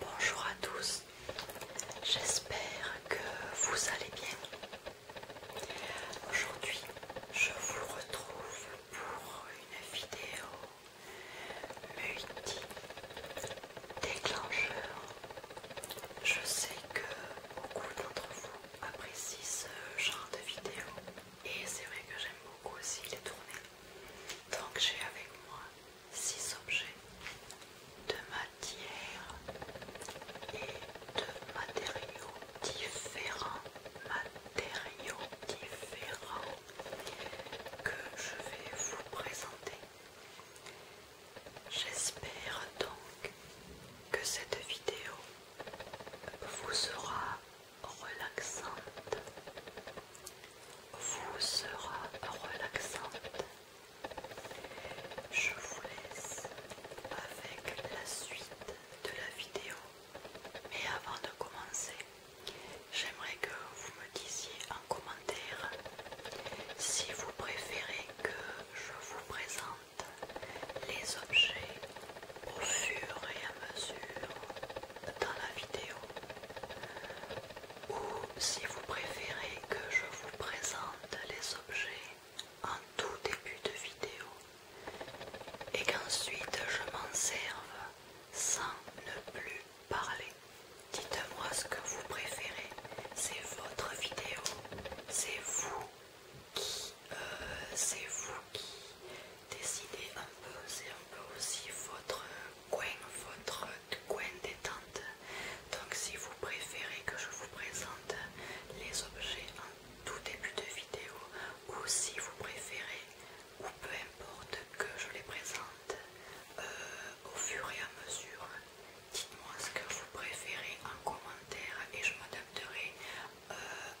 Bonjour à tous, j'espère que vous allez bien. Aujourd'hui, je vous retrouve pour une vidéo multi-déclencheur. Je sais que beaucoup d'entre vous apprécient ce genre de vidéo et c'est vrai que j'aime beaucoup aussi les tournées. Donc j'ai avec moi 6 objets de matière et de matériaux différents. Matériaux différents que je vais vous présenter. J'espère donc que cette vidéo vous sera relaxante vous sera relaxante. Je vous laisse avec la suite de la vidéo. Mais avant de commencer, j'aimerais que vous me disiez en commentaire si vous préférez que je vous présente les objets au fur et à mesure dans la vidéo ou si vous préférez que je vous présente les objets en tout début de vidéo et qu'ensuite je m'en serve sans ne plus parler. Dites-moi ce que vous préférez, c'est votre vidéo, c'est vous qui, euh, c'est vous qui décider un peu, c'est un peu aussi votre coin, votre coin détente. Donc si vous préférez que je vous présente les objets en tout début de vidéo ou si vous préférez ou peu importe que je les présente euh, au fur et à mesure, dites-moi ce que vous préférez en commentaire et je m'adapterai euh,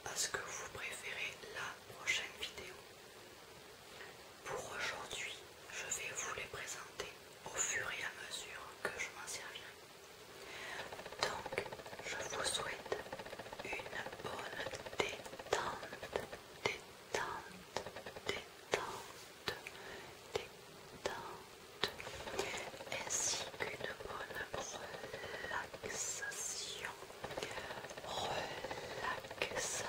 à ce que vous préférez la prochaine vidéo. Pour aujourd'hui, je vais vous les présenter au fur et à mesure que je m'en servirai. Donc, je vous souhaite une bonne détente, détente, détente, détente, ainsi qu'une bonne relaxation relaxation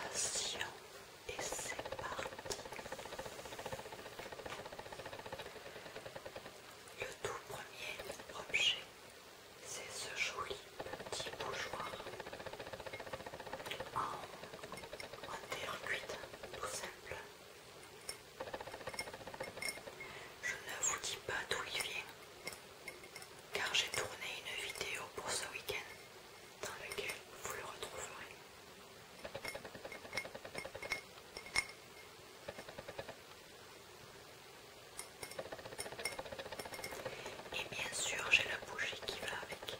et c'est parti. Le tout premier objet, c'est ce joli petit bougeoir en, en terre cuite, tout simple. Je ne vous dis pas d'où il vient, car j'ai tourné une vidéo pour ce week-end dans laquelle vous le retrouverez. Et bien sûr, j'ai la bougie qui va avec.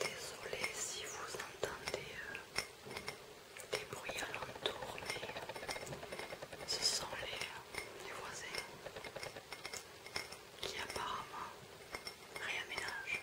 Désolé si vous entendez euh, des bruits alentour, mais ce sont les, les voisins qui apparemment réaménagent.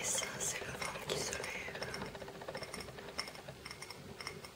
Et ça, c'est le vent qui se lève.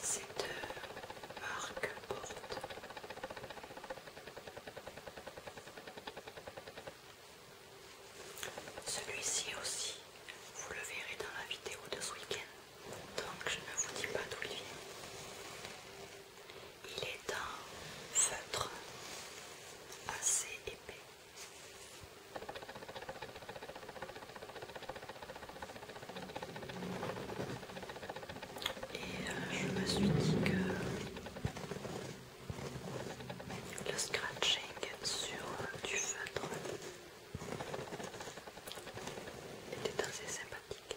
C'est de marque Porte. Celui-ci aussi, vous le verrez dans la vidéo de ce week-end, donc je ne vous dis pas d'où il vient. Il est un feutre assez épais. Et euh, je me suis dit que le scratching sur euh, du feutre était assez sympathique.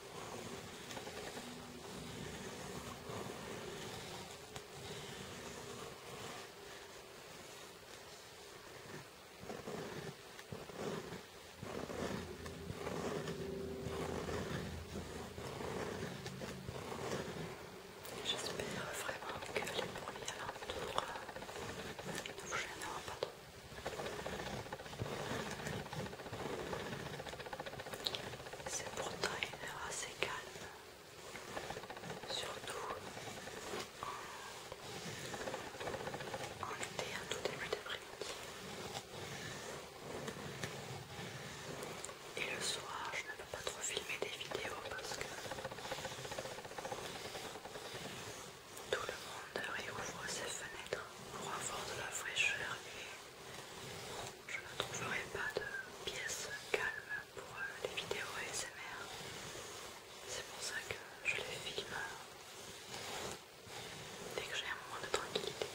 J'espère vraiment que les bruits l'entour ne euh, vous gêneront pas trop. C'est pourtant une heure assez calme, surtout en, été, en tout début d'après-midi. Et le soir, je ne peux pas trop filmer des vidéos parce que tout le monde réouvre ses fenêtres pour avoir de la fraîcheur et je ne trouverai pas de pièce calme pour euh, les vidéos ASMR. C'est pour ça que je les filme euh, dès que j'ai un moment de tranquillité.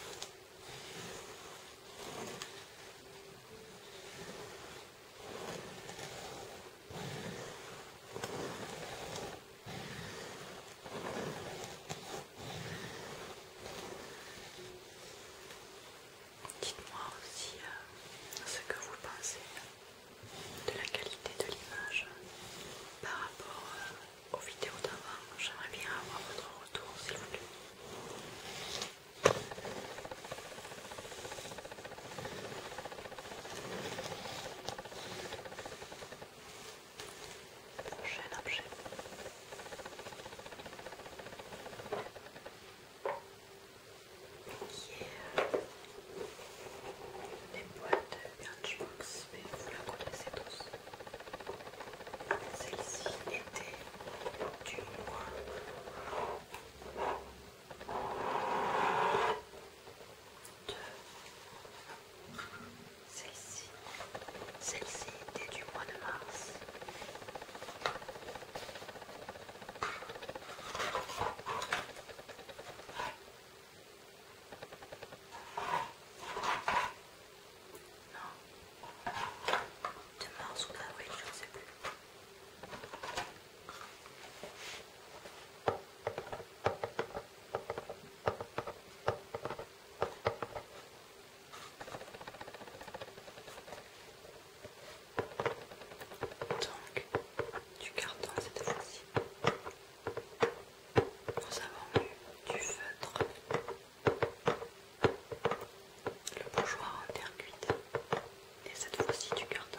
Dites-moi aussi euh, ce que vous pensez de la qualité de l'image par rapport euh, aux vidéos d'avant. J'aimerais bien avoir votre retour s'il vous plaît prochain objet. Qui est des boîtes boîtes Birchbox, mais vous la connaissez tous. Celle-ci était du mois de celle-ci, celle-ci était du mois de mars. Non, de mars ou d'avril, je ne sais plus. Donc, du carton cette fois-ci. Nous avons eu du feutre, le bourgeois en terre cuite, et cette fois-ci du carton.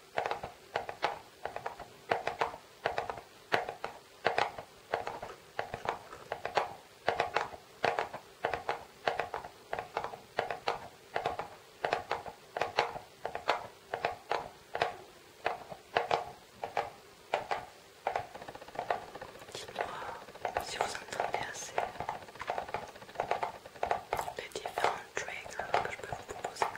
Dites-moi si vous entendez assez les différents triggers que je peux vous proposer.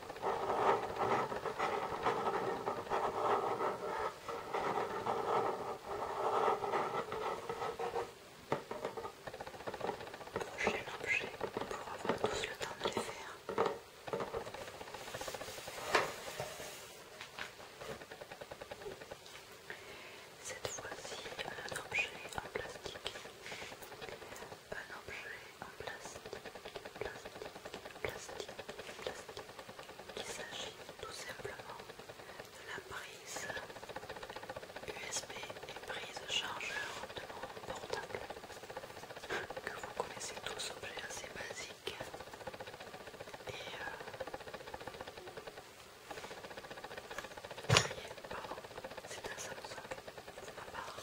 Prochain objet, pour avoir tous le temps de les faire. Cette fois-ci, un objet en plastique un objet en plastique, plastique, plastique, plastique. Il s'agit tout simplement de la prise USB et prise chargeur de mon portable. Que vous connaissez tous, objet assez basique. Et euh... pardon, c'est un Samsung c'est ma part.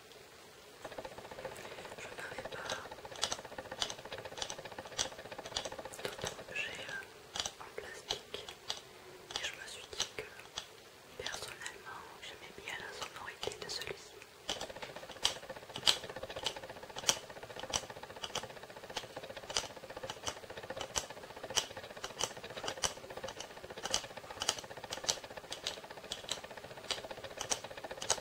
Je n'avais pas d'autres objets euh, en plastique et je me suis dit que personnellement j'aimais bien la sonorité de celui-ci.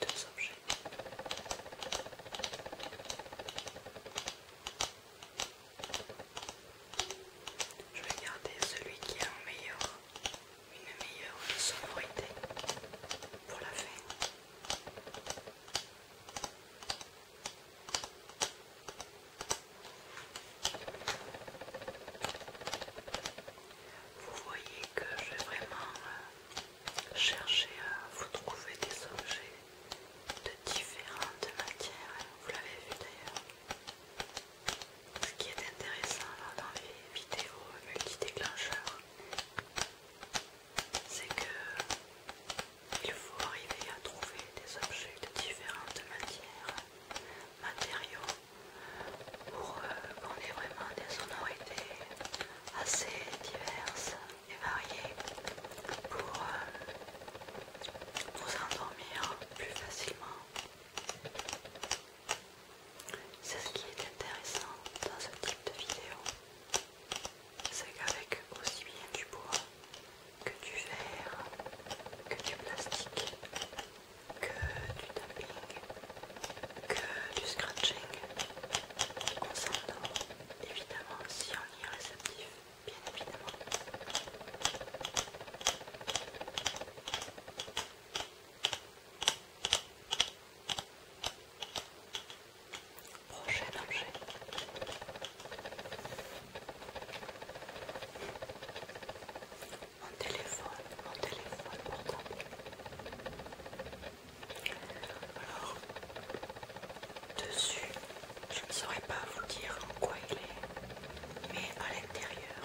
deux objets. Je vais garder celui qui a meilleur, une meilleure sonorité pour la fin. Vous voyez que j'ai vraiment euh, cherchez à euh, vous trouver des objets de différentes matières, vous l'avez vu d'ailleurs. Ce qui est intéressant dans les vidéos multi-déclencheurs, c'est que il faut arriver à trouver des objets de différentes matières, matériaux, pour qu'on euh, ait vraiment des sonorités assez diverses et variées pour vous euh, endormir plus facilement. C'est ce qui est intéressant dans ce type de vidéo, c'est qu'avec aussi bien du bois que du verre, que du plastique, que du tapping, que du scratching. On s'endort évidemment si on y est réceptif, bien évidemment. Prochain objet. Mon téléphone, mon téléphone pourtant. Alors, dessus, je ne saurais pas vous dire en quoi il est, mais à l'intérieur,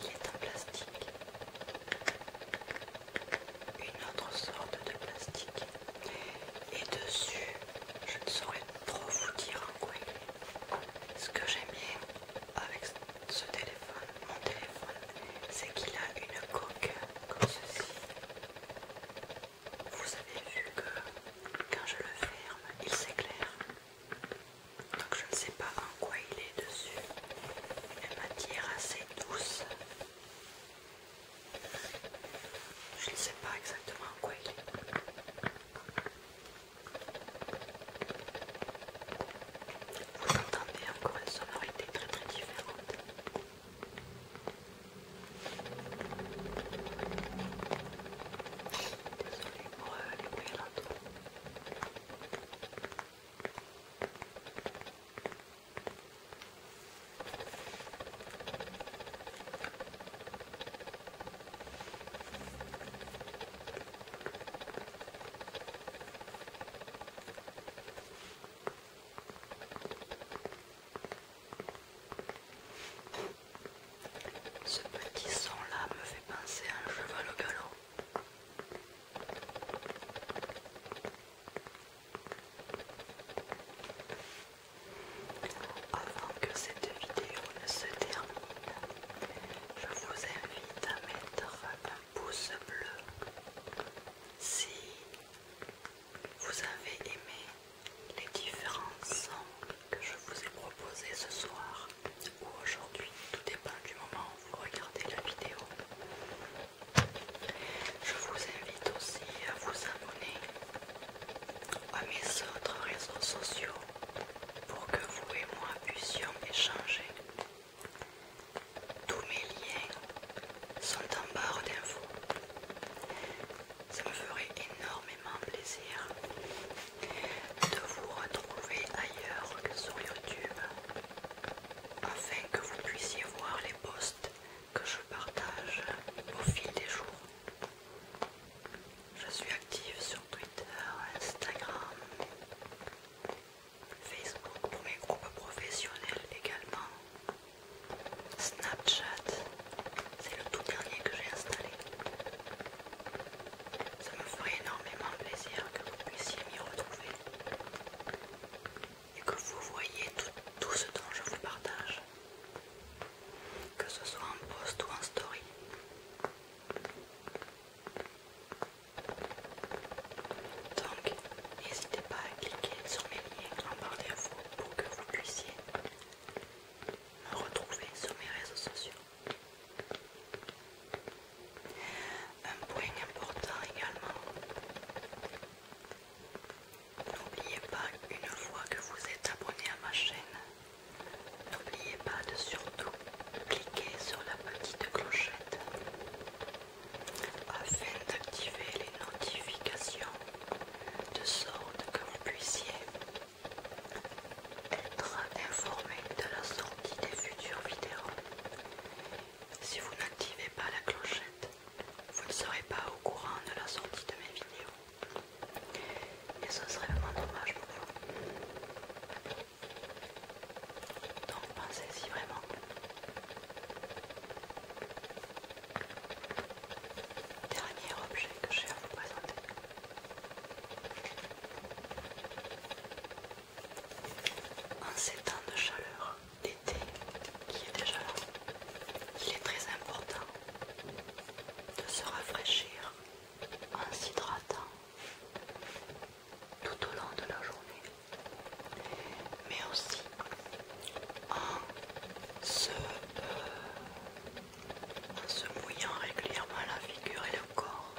il est en plastique. Une autre sorte de plastique. Et dessus, je ne saurais trop vous dire en quoi il est. Ce que j'aime bien avec ce téléphone, mon téléphone, c'est qu'il a une coque comme ceci. Vous avez vu que quand je le ferme, il s'éclaire. Donc je ne sais pas en quoi il est dessus. Une matière assez douce. Je ne sais pas exactement en quoi il est. Vous entendez encore une sonorité très très différente. Désolée pour les bruits à l'entour. Ce petit son-là me fait penser à un cheval au galop. Avant que cette vidéo ne se termine, je vous invite à mettre un pouce bleu si vous avez aimé les différents sons que je vous ai proposés ce soir ou aujourd'hui, tout dépend du moment où vous regardez la vidéo. Je vous invite aussi à vous abonner à mes autres réseaux sociaux pour que vous et moi puissions échanger tous mes liens sont en barre d'infos. Ça me ferait énormément plaisir de vous retrouver ailleurs que sur YouTube afin que vous puissiez voir les posts que je partage au fil des jours. Je suis active sur Twitter, Instagram Facebook pour mes groupes professionnels également. Snapchat, c'est le tout dernier que j'ai installé. Ça me ferait énormément plaisir que vous puissiez m'y retrouver et que vous voyez tout, tout ce dont je vous partage, que ce soit en post ou en story. Donc, n'hésitez pas à cliquer sur mes liens en barre d'infos pour que vous puissiez me retrouver sur mes réseaux sociaux. Un point important également. N'oubliez pas, une fois que vous êtes abonné à ma chaîne, n'oubliez pas de surtout cliquer sur la petite clochette afin d'activer les notifications de sorte que vous puissiez être informé de la sortie des futures vidéos. Si vous n'activez pas la clochette, vous ne serez pas au courant de la sortie de mes vidéos. Et ce serait vraiment dommage pour vous. Donc pensez-y vraiment. Dernier objet que j'ai à vous présenter. En ces temps de chaleur d'été qui est déjà là, il est très important de se rafraîchir en s'hydratant tout au long de la journée mais aussi euh, en se, mouillant régulièrement la figure et le corps.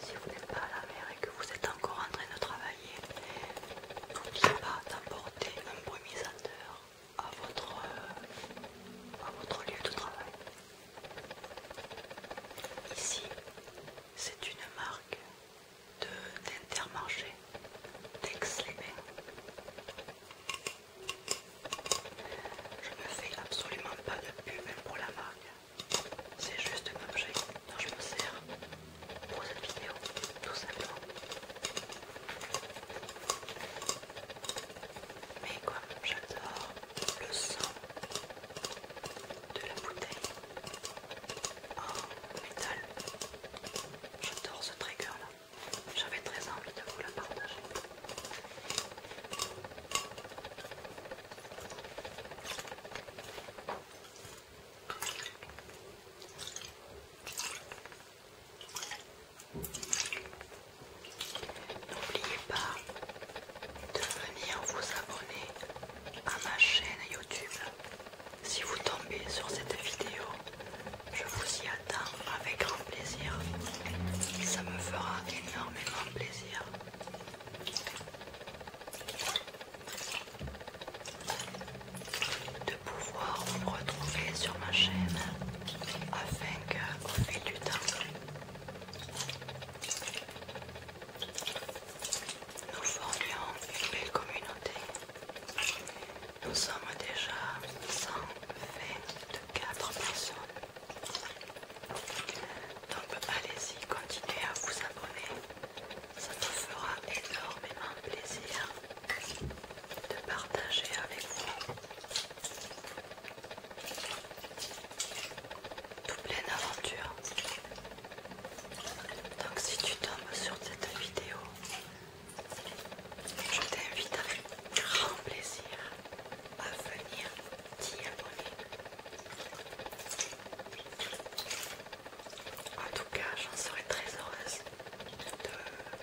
Si vous n'êtes pas à la mer et que vous êtes encore en train de travailler, n'oubliez pas d'apporter un brumisateur à votre, euh, à votre lieu de travail. Ici, c'est une marque d'Intermarché, de, les Je ne fais absolument pas de pub pour la marque. C'est juste un objet dont je me sers pour cette vidéo, tout simplement. Mais quoi, j'adore le son de la bouteille, Oh, métal. J'adore ce trigger là. J'avais très envie de vous le partager. N'oubliez pas de venir vous abonner à ma chaîne YouTube si vous tombez sur cette vidéo, je vous y attends avec grand plaisir. Ça me fera énormément plaisir. De pouvoir vous retrouver sur ma chaîne afin qu'au fil du temps, nous formions une belle communauté. Nous sommes déjà 124 personnes. Donc allez-y, continuez à vous abonner. Ça nous fera énormément plaisir de partager avec vous toute plein aventure Donc si tu tombes sur cette vidéo je t'invite avec grand plaisir à venir t'y abonner. En tout cas, j'en serais très heureuse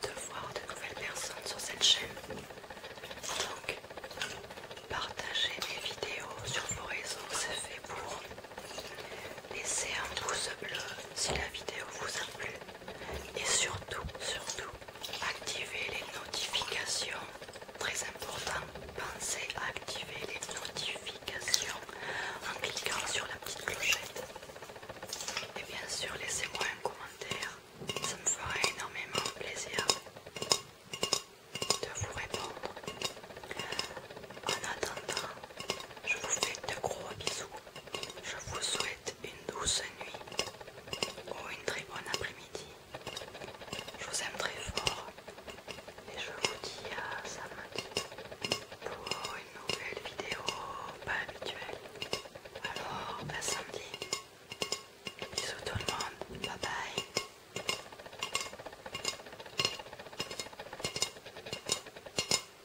de, voir de nouvelles personnes sur cette chaîne. Donc, partagez mes vidéos sur vos réseaux, c'est fait pour Laissez un pouce bleu si la vidéo vous a plu et surtout, surtout, activez les notifications. Très important, pensez à activer les notifications en cliquant sur la petite clochette. Et bien sûr, laissez-moi un commentaire, ça me ferait énormément plaisir de vous répondre. En attendant, je vous fais de gros bisous. Je vous souhaite une douce nuit ou une très bonne après-midi. Je vous aime très fort et je vous dis à samedi pour une nouvelle vidéo pas habituelle. Alors, à samedi. Bisous tout le monde. Bye bye.